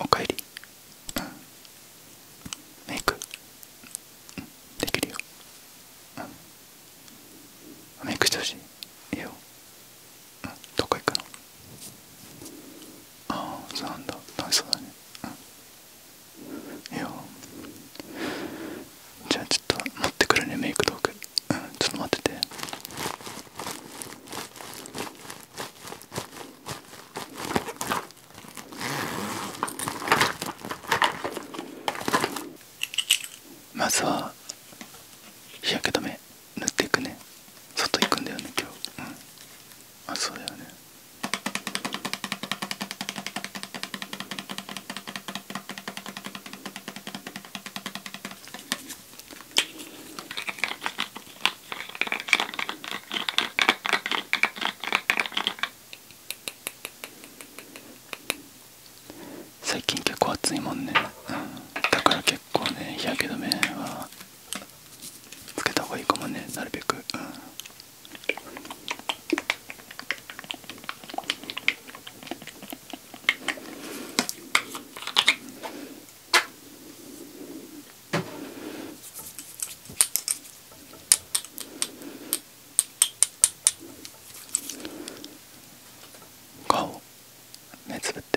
おかえり、うん、メイク、うん、できるよ、うん、メイクしてほしいいいよ、うん、どこ行くのああそうなんだ楽しそうだねうんいやじゃあちょっと持ってくるねメイク道具うんちょっと待っててまずは日焼け止め塗っていくね外行くんだよね今日うんあそうだよね最近結構暑いもんね、だから結構ね日焼け止めはつけた方がいいかもねなるべく、う顔目つぶって。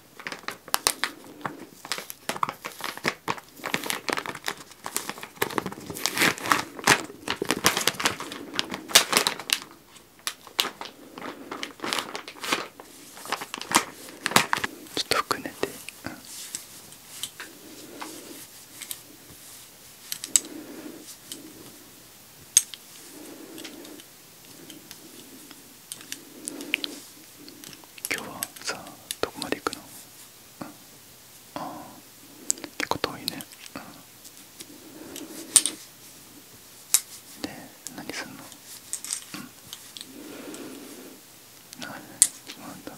ちょっと含めて、うん、今日はさどこまで行くの、あん、あ結構遠いね、うん、で何すんのうんあなんだ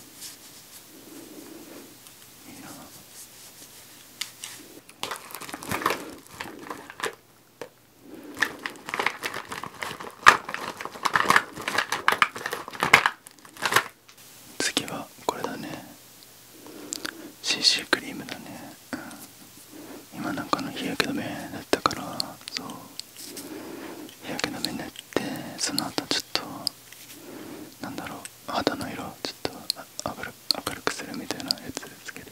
いいな次はこれだね CC クリームだね、今なんかの日焼け止めだったからそう日焼け止め塗ってその後ちょっとなんだろう肌の色ちょっと明るくするみたいなやつつけて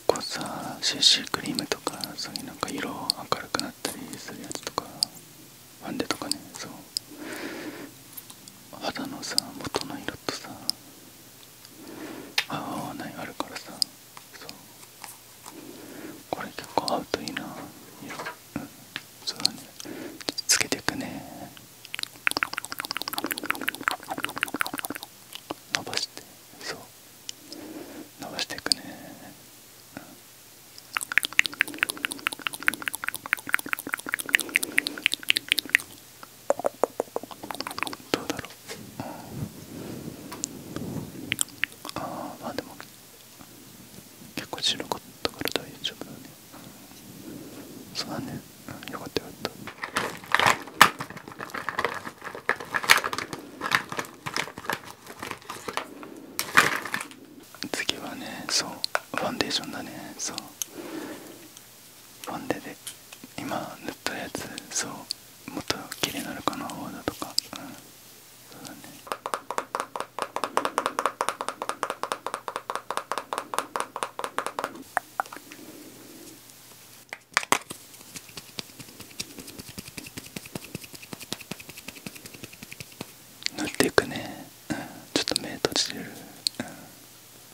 結構さシ c クリームとかそういうなんか色明るくなったりするやつとかファンデとかねそう肌のさ元の色とさ合う合わないあるからさそうこれ結構合うといいな色そうつけていくね伸ばしてそう伸ばしていくね、どうだろう、ああまあでも結構白かったから大丈夫だね、うん、そうだね、うん、よかったよかった次はねそうファンデーションだねそうファンデで今塗ったやつそうもっと綺麗になるかな泡だとかうんそうだね塗っていくね、うん、ちょっと目閉じてる、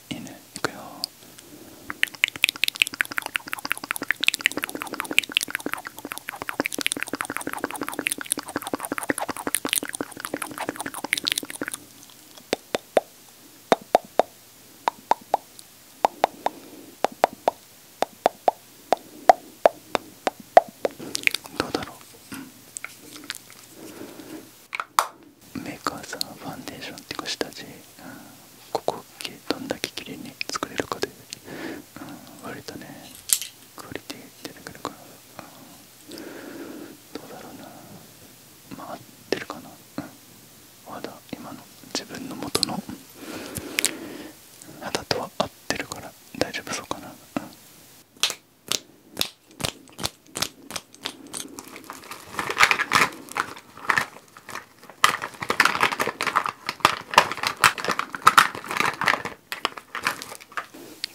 犬、ん、いくよどうだろう、うん、メーカーさんファンデーションっていうか下地、うここどんだけ綺麗に作れるかで、うん、割とねクオリティ出てくるから、うどうだろうな回ってるかな、うんまだ今の自分の元の肌とは合ってるから大丈夫そうかな、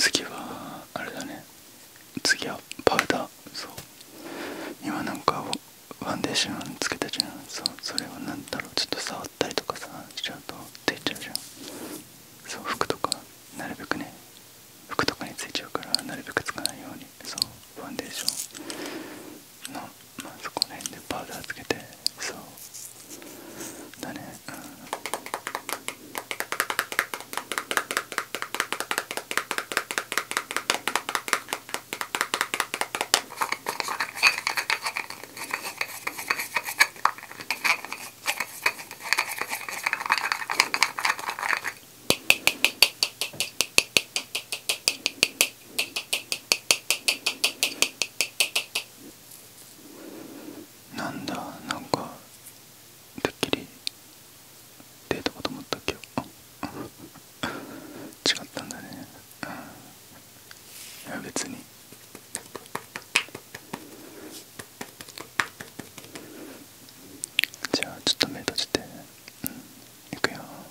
次はあれだね次はパウダーそう今なんかファンデーションつけたじゃんそそれは何だろうちょっと触ったりとかさしちゃうと出ちゃうじゃんそう服とかなるべくね服とかについちゃうからなるべくつかないようにそうファンデーションのまあそこら辺でパウダーつけてそうだねうんなんだなんかドッキリ。デートかと思ったけど 違ったんだね、うん、いや別にじゃあちょっと目閉じてうん行くよ「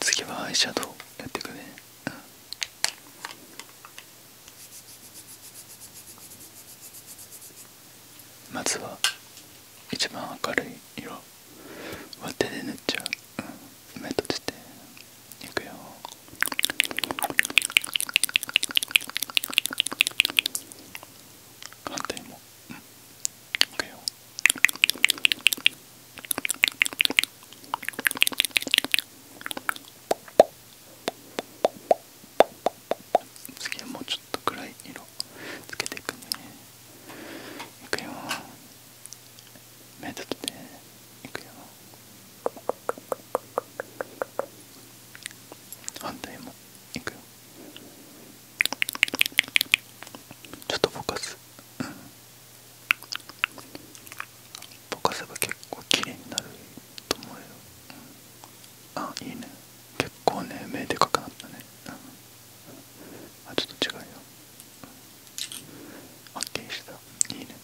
次はアイシャドウやってくね、まずは一番明るい色は手で塗っちゃう、目閉じていくよ反対も Okay. 次はもうちょっと暗い色つけていくねいくよ目立っていくよ反対もいくよちょっとぼかす、ぼかせば結構きれいになると思うよ、うん、あいいね結構ね目でかくなったね、うん、あちょっと違うよあ、っきりしたいいね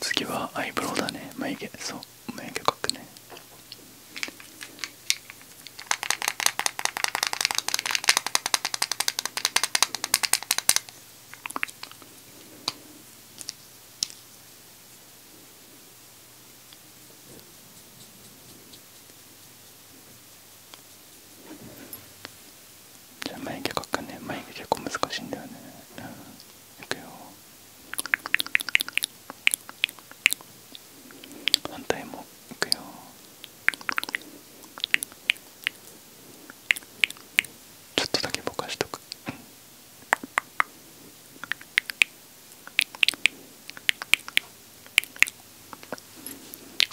次はアイブロウだね眉毛そう眉毛描くねじゃあ眉毛描くかね眉毛結構難しいんだよね、うんいくよ反対もいくよちょっとだけぼかしとく、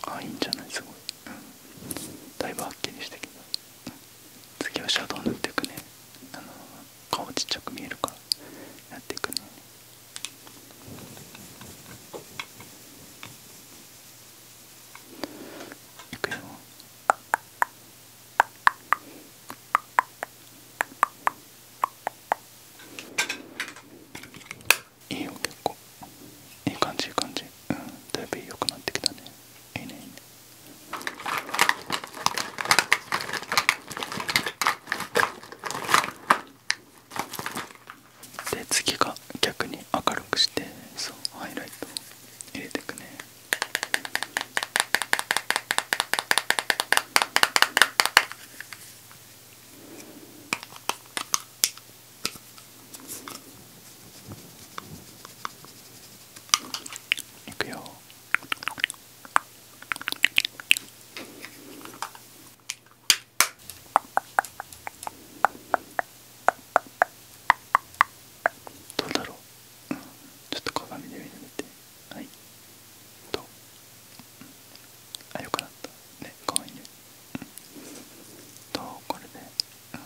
あいいんじゃないすごい、だいぶはっきりしてきた次はシャドウ塗っていくね顔ちっちゃく見えるからやっていくねいくよいいよ結構いい感じいい感じうんだいぶ良くなってきたねいいねいいねで次が逆に明るくしてそうハイライトを入れてくねいくよどうだろう、ちょっと鏡で見てみてはいどあよくなったね可愛いね、うん、どこれで、うん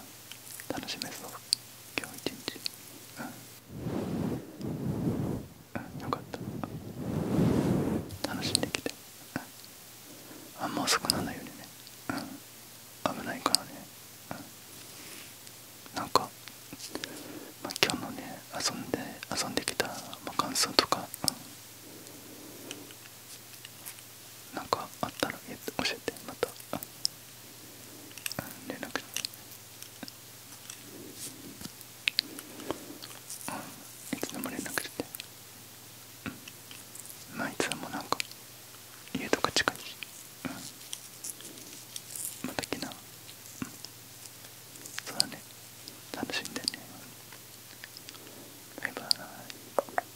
楽しめそう今日一日うん、うん、よかった楽しんできて、あんま遅くならないようにねうん危ないからねうんなんか、まあ、今日のね遊んで遊んできた、まあ、感想とか、なんかあったら教えてまた連絡していつでも連絡してまあいつでもなんか家とか近いうん、また来な、そうだね楽しんでねバイバーイ